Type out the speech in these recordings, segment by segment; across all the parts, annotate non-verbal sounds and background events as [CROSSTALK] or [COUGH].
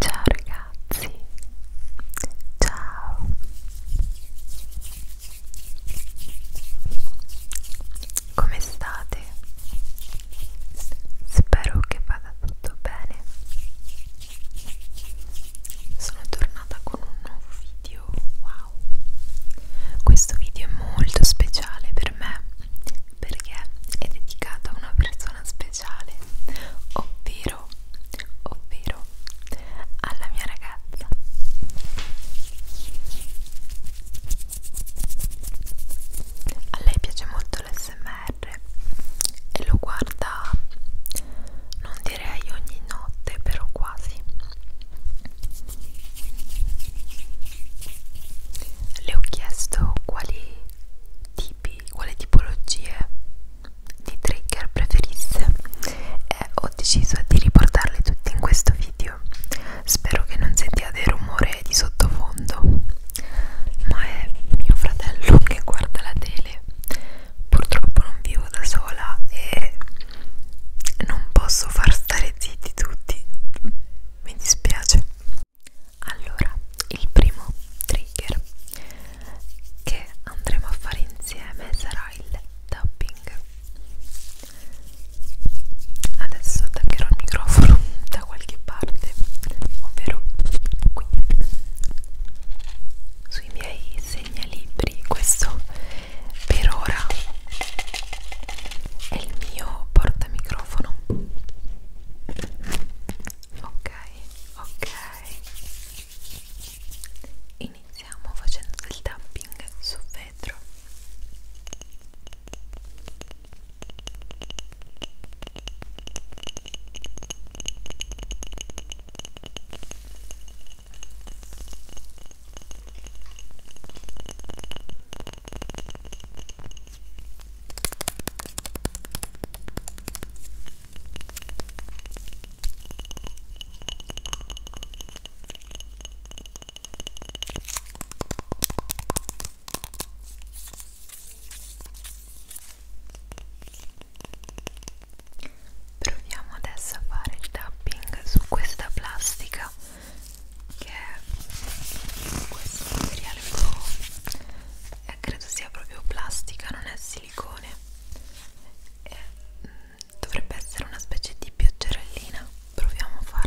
Ciao ragazzi, ciao. Come state? Spero che vada tutto bene. Sono tornata con un nuovo video. Wow! Questo video è molto speciale per me perché è dedicato a una persona speciale, ovvero, ovvero alla mia ragazza. A lei piace molto l'SMR e lo guarda, non direi ogni notte, però quasi. Le ho chiesto quali tipi, quale tipologie di trigger preferisse e ho deciso di riportarle tutte in questo video spero che non sentiate il rumore di sottofondo ma è mio fratello che guarda la tele purtroppo non vivo da sola e non posso far stare zitti tutti mi dispiace allora, il primo trigger che andremo a fare insieme sarà il tapping. Adesso attaccherò il microfono [LAUGHS] da qualche parte, ovvero qui sui miei segnalibri. Questo per ora è il mio portamicrofono microfono ok ok iniziamo facendo del tapping su vetro Proviamo adesso a fare il tapping su questa plastica che è questo materiale blu e eh, credo sia proprio plastica non è silicone e, mh, mm, dovrebbe essere una specie di pioggerellina proviamo a farlo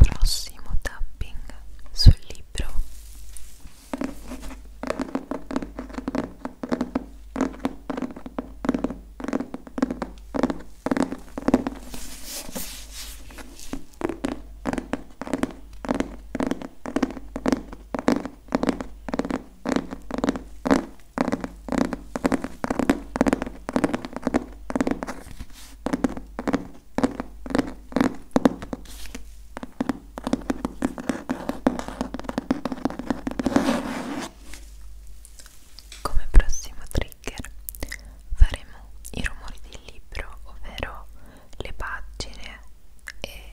prossimo tapping sul libro come prossimo trigger faremo i rumori del libro, ovvero le pagine e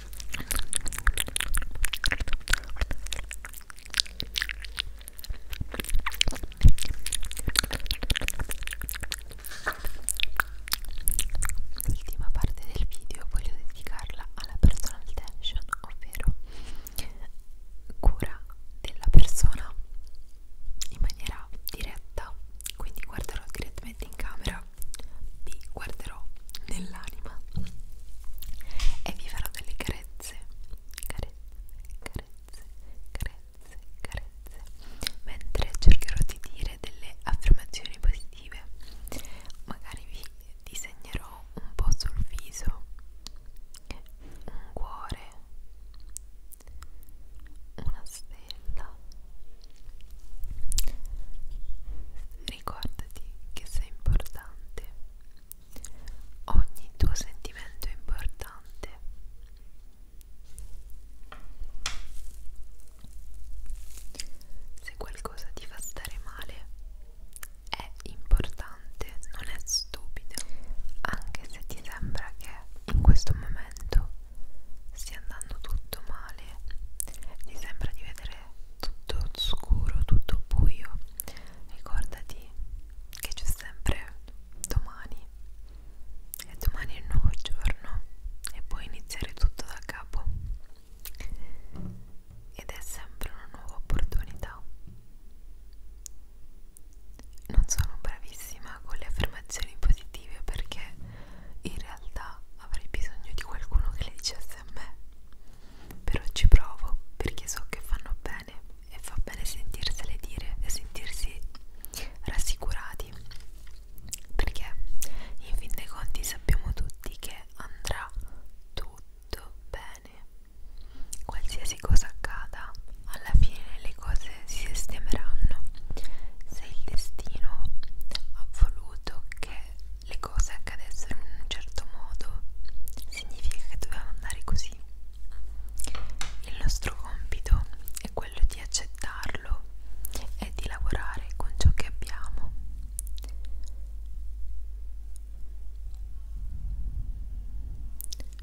L'ultima parte del video voglio dedicarla alla personal tension, ovvero cura della persona in maniera diretta. Quindi guarderò direttamente in camera, vi guarderò porterò nell'anima e vi farò delle carezze, carezze, carezze, carezze, carezze, mentre cercherò di dire delle affermazioni positive. Magari vi disegnerò un po' sul viso un cuore, una stella ricordati che sei importante. Ogni tuo sentimento è importante. Se qualcosa ti fa stare male, è importante, non è stupido, anche se ti sembra che in questo momento stia andando tutto male, ti sembra di vedere è tutto scuro, tutto buio, ricordati che c'è sempre domani e domani è un nuovo giorno e puoi iniziare tutto da capo ed è sempre una nuova opportunità. Non sono bravissima con le affermazioni positive perché in realtà avrei bisogno di qualcuno che le dicesse grazie a me. Però ci provo perché so che fanno bene e fa bene sentirsele dire e sentirsi rassicurati. Perché in fin dei conti sappiamo tutti che andrà tutto bene. Qualsiasi cosa accada, alla fine le cose si sistemeranno. Se il destino ha voluto che le cose accadessero in un certo modo significa che doveva andare così. Il nostro compito è quello di accettarlo e di lavorare con ciò che abbiamo.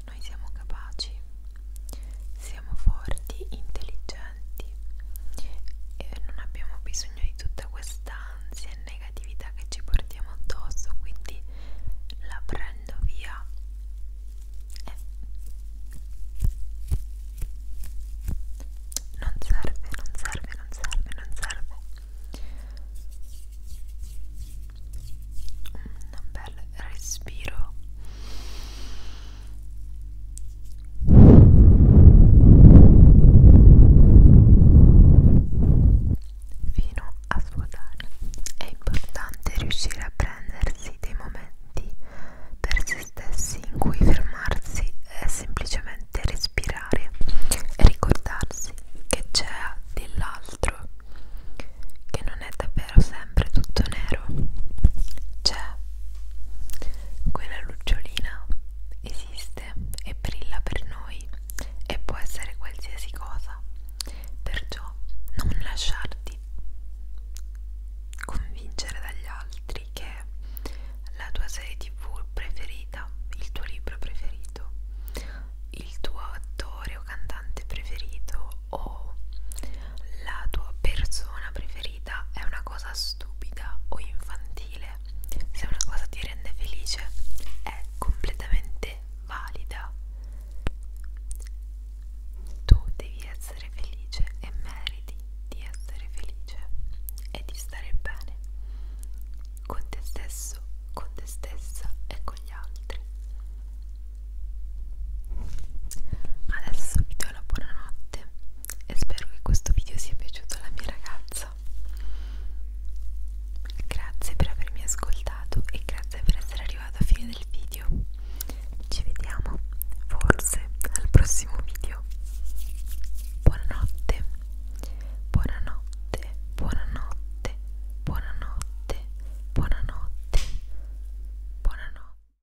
Noi siamo capaci, siamo forti, intelligenti divertenti e non abbiamo bisogno di tutta quest'ansia e negatività che ci portiamo addosso quindi la prendo via e eh. non serve, non serve, non serve, non serve un bel respiro fino a svuotare. È importante riuscire a prendersi dei momenti per se stessi in cui fermarsi e semplicemente respirare e ricordarsi che c'è dell'altro, che non è davvero sempre tutto nero. C'è quella lucciolina esiste e brilla per noi e può essere qualsiasi cosa. Perciò non lasciarti convincere dagli altri che la tua serie tv preferita, il tuo libro preferito, il tuo attore o cantante preferito o la tua persona preferita ferita è una cosa stupida o infantile, se una cosa ti rende felice è completamente valida. Tu devi essere felice e meriti di essere felice e di stare bene con te stesso, con te stessa e con gli altri. Adesso vi do la buonanotte e spero che questo video sia piaciuto alla mia ragazza. Grazie per avermi ascoltato e grazie per essere arrivato a fine del video. Ci vediamo forse al prossimo video. Buonanotte, buonanotte, buonanotte, buonanotte, buonanotte, buonanotte.